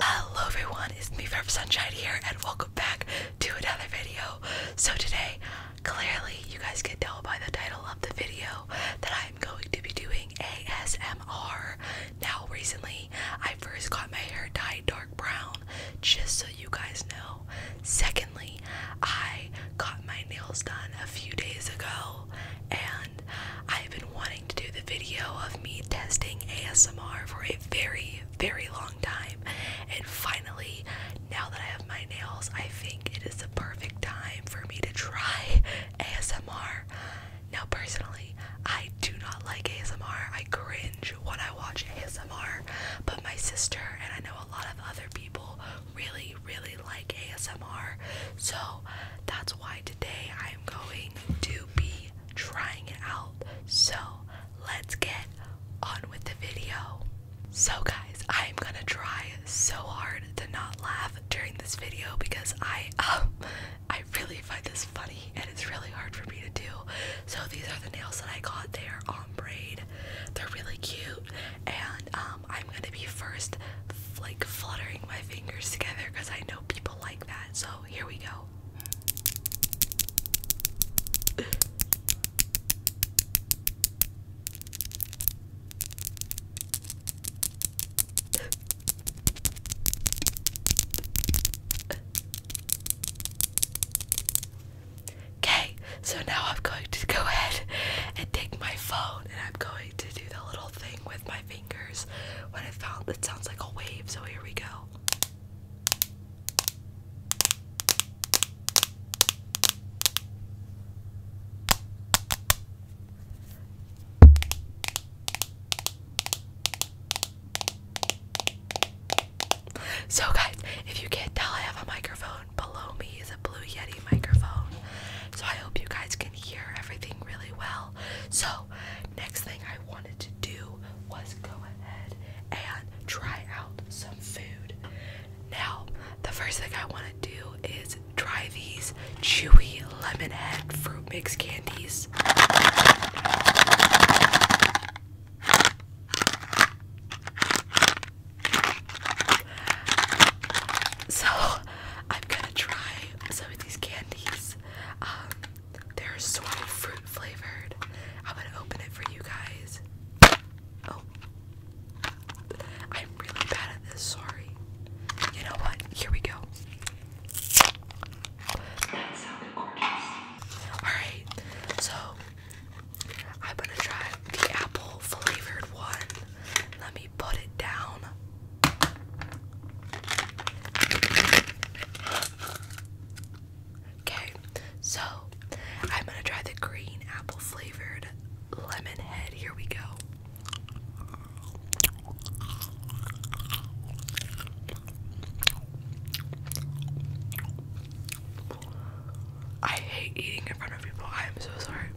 Hello everyone, it's me Verb Sunshine here and welcome back to another video. So today, clearly you guys can tell by the title of the video that I'm going to be doing ASMR. Now recently I first got my hair dyed dark brown just so you guys know. Secondly, I got my nails done a few days ago, and I've been wanting to do the video of me testing ASMR for a very, very long time. And finally, now that I have my nails, I think it is the perfect time for me to try ASMR. Now, personally, I do not like ASMR. I cringe when I watch ASMR, but my sister and I know a lot of other people really, really like ASMR. So that's why today I am going to be trying it out. So let's get on with the video. So, guys, I am gonna try so hard to not laugh during this video because I, um, I really find this funny and it's really hard for me to do. So these are the nails that I got. They are on braid. They're really cute, and um, I'm gonna be first, like fluttering my fingers together because I know people like that. So here we go. Okay, so now I'm going to go ahead and take my phone and I'm going to do the little thing with my fingers when it found it sounds like a wave, so here we go. So, guys, if you can't tell, I have a microphone. Below me is a Blue Yeti microphone. So, I hope you guys can hear everything really well. So, next thing I wanted to do was go ahead and try out some food. Now, the first thing I want to do is try these chewy lemon head fruit mix candies. So I'm gonna try some of these candies. Um, they're sort of fruit flavored. I'm gonna open it for you guys. Oh, I'm really bad at this. Sorry. You know what? Here we go. That sounded gorgeous. All right. So I'm gonna try the apple flavored one. Let me put it down. Okay, so I'm gonna try the green apple flavored lemon head. Here we go. I hate eating in front of people. I am so sorry.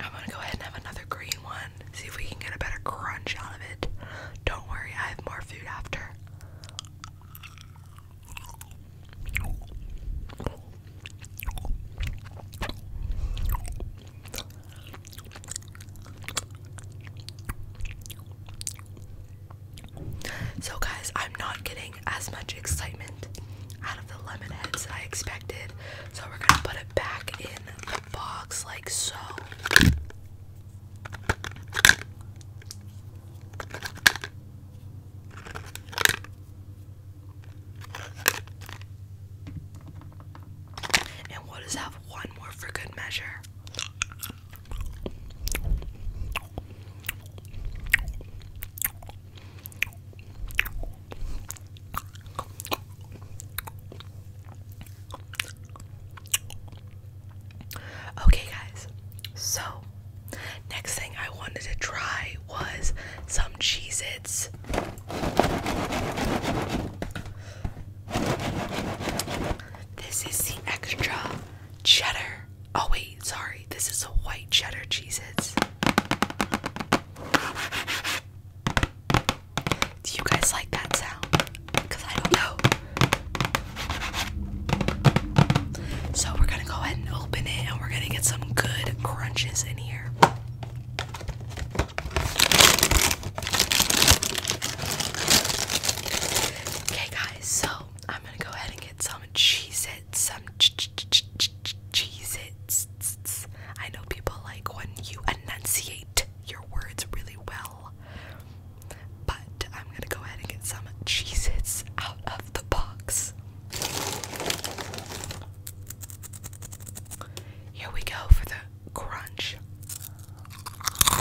I'm gonna go ahead and have another green one. See if we can get a better crunch out of it. Don't worry, I have more food after. So, guys, I'm not getting as much excitement out of the lemon heads that I expected. So, we're gonna put it back in the box like so. And we'll just have one more for good measure. Okay, guys, so Next thing I wanted to try was some Cheez Its. This is the extra cheddar. Oh, wait, sorry. This is a white cheddar Cheez Do you guys like that sound? Because I don't know. So, we're gonna go ahead and open it and we're gonna get some good crunches in here. Okay, guys, so I'm gonna go ahead and get some cheese some ch I know people like when you enunciate your words really well, but I'm gonna go ahead and get some cheese out of the box. Here we go for the crunch. We're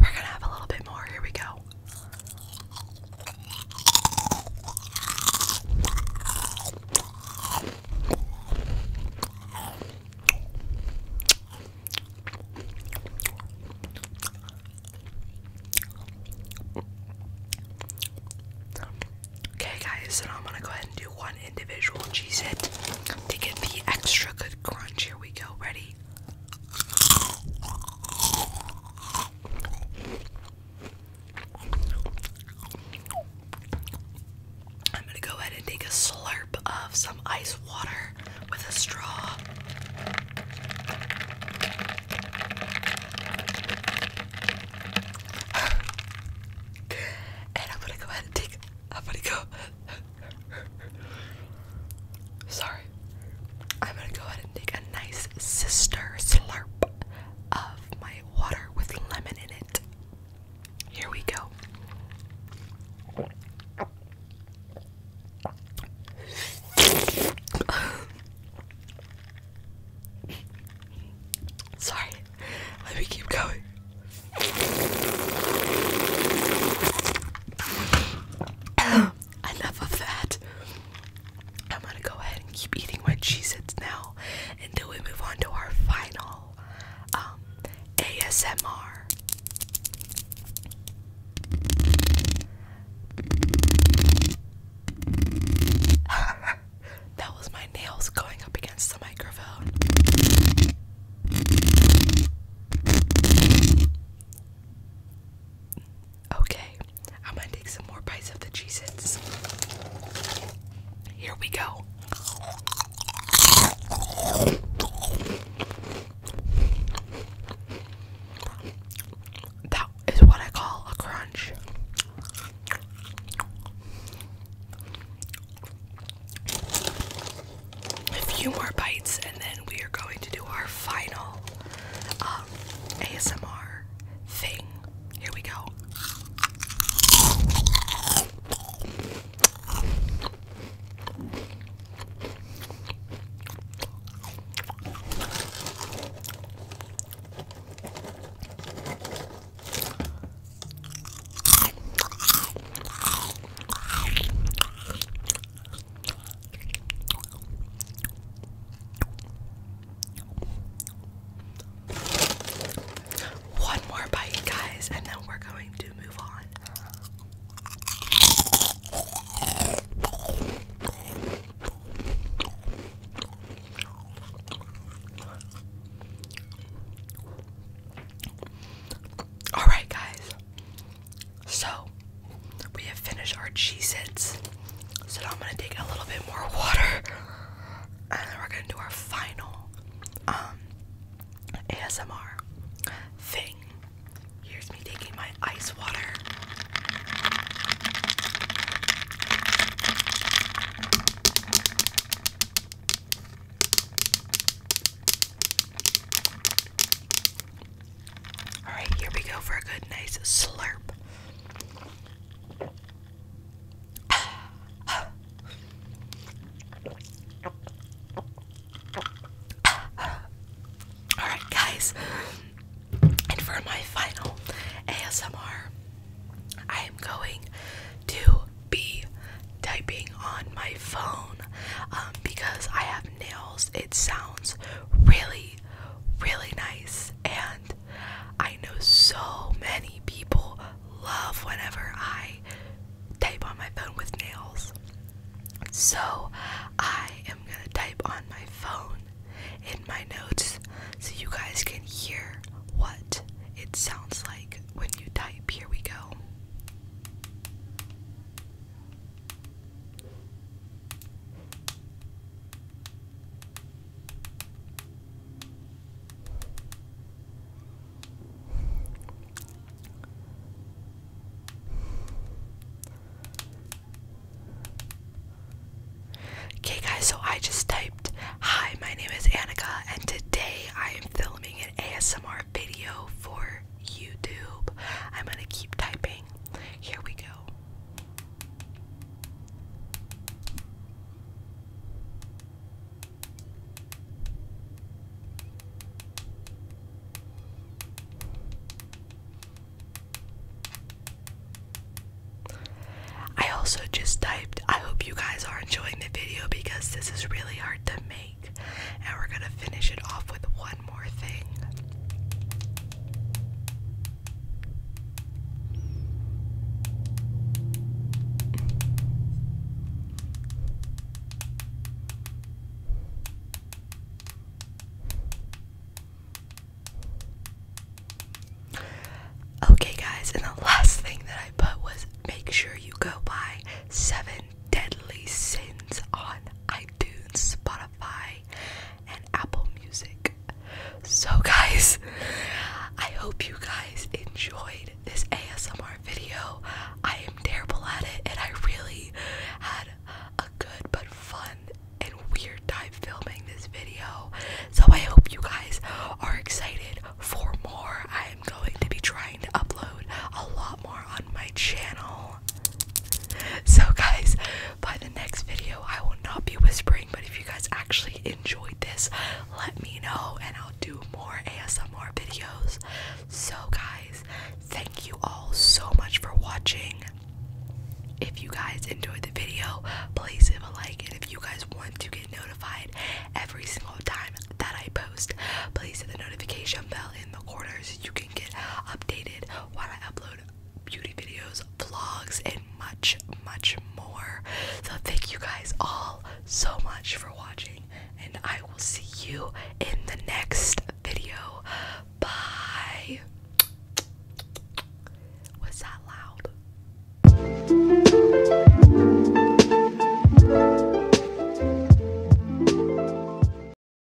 going to have a little bit more. Here we go. Okay, guys, so I'm gonna go ahead and do one individual cheese hit to get the extra good crunch. Here we go. Ready? I'm gonna go ahead and take a slurp of some ice water with a straw. and I'm gonna go ahead and take. I'm gonna go. Sorry. I'm gonna go ahead and take a nice sister slurp of my water with lemon in it. Here we go. Sorry, let me keep going enough of that. I'm gonna go ahead and keep eating my Cheez Its now until we move on to our final um, ASMR. that was my nails going up against the microphone. Okay, I'm gonna take some more bites of the Cheez Its. Here we go. That is what I call a crunch. A few more bites, and then we are going to do our final uh, ASMR thing. Here we go. One more bite, guys, and then we're going to move on. All right, guys. So we have finished our cheese its. So now I'm gonna take a little bit more water, and then we're gonna do our final um, ASMR thing. Here's me taking my ice water. Alright, here we go for a good, nice slurp. Alright, guys, and for my final ASMR, I am going to be typing on my phone um, because I have nails. It sounds really really, nice. And I know so many people love whenever I type on my phone with nails. So I am gonna type on my phone in my notes so you guys can hear what it sounds like when you type. Here we go. Okay, guys, so I just typed, Hi, my name is Annika, and today I am filming an ASMR video for YouTube. I'm gonna keep typing here we go. I also just typed, I hope you guys are enjoying the video because this is really hard to make. And we're gonna finish it off with one Okay, guys, and the last thing that I put was make sure you go buy Seven Deadly Sins on iTunes, Spotify. Spotify, and Apple Music. So, guys, I hope you guys enjoyed this ASMR video. I am terrible at it, and I really had a good but fun and weird time filming this video. So, I hope you guys are excited for more. I am going to be trying to upload a lot more on my channel. So, guys, by the next video, I will not be whispering, but if you guys actually enjoyed this, let me know and I'll do more ASMR videos. So, guys, thank you all so much for watching. If you guys enjoyed the video, please leave a like. And if you guys want to get notified every single time that I post, please hit the notification bell in the corners. so you can get updated while I upload beauty videos, vlogs, and much, much more. So, thank you guys all so much for watching, and I will see you in the next video. Bye. Was that loud?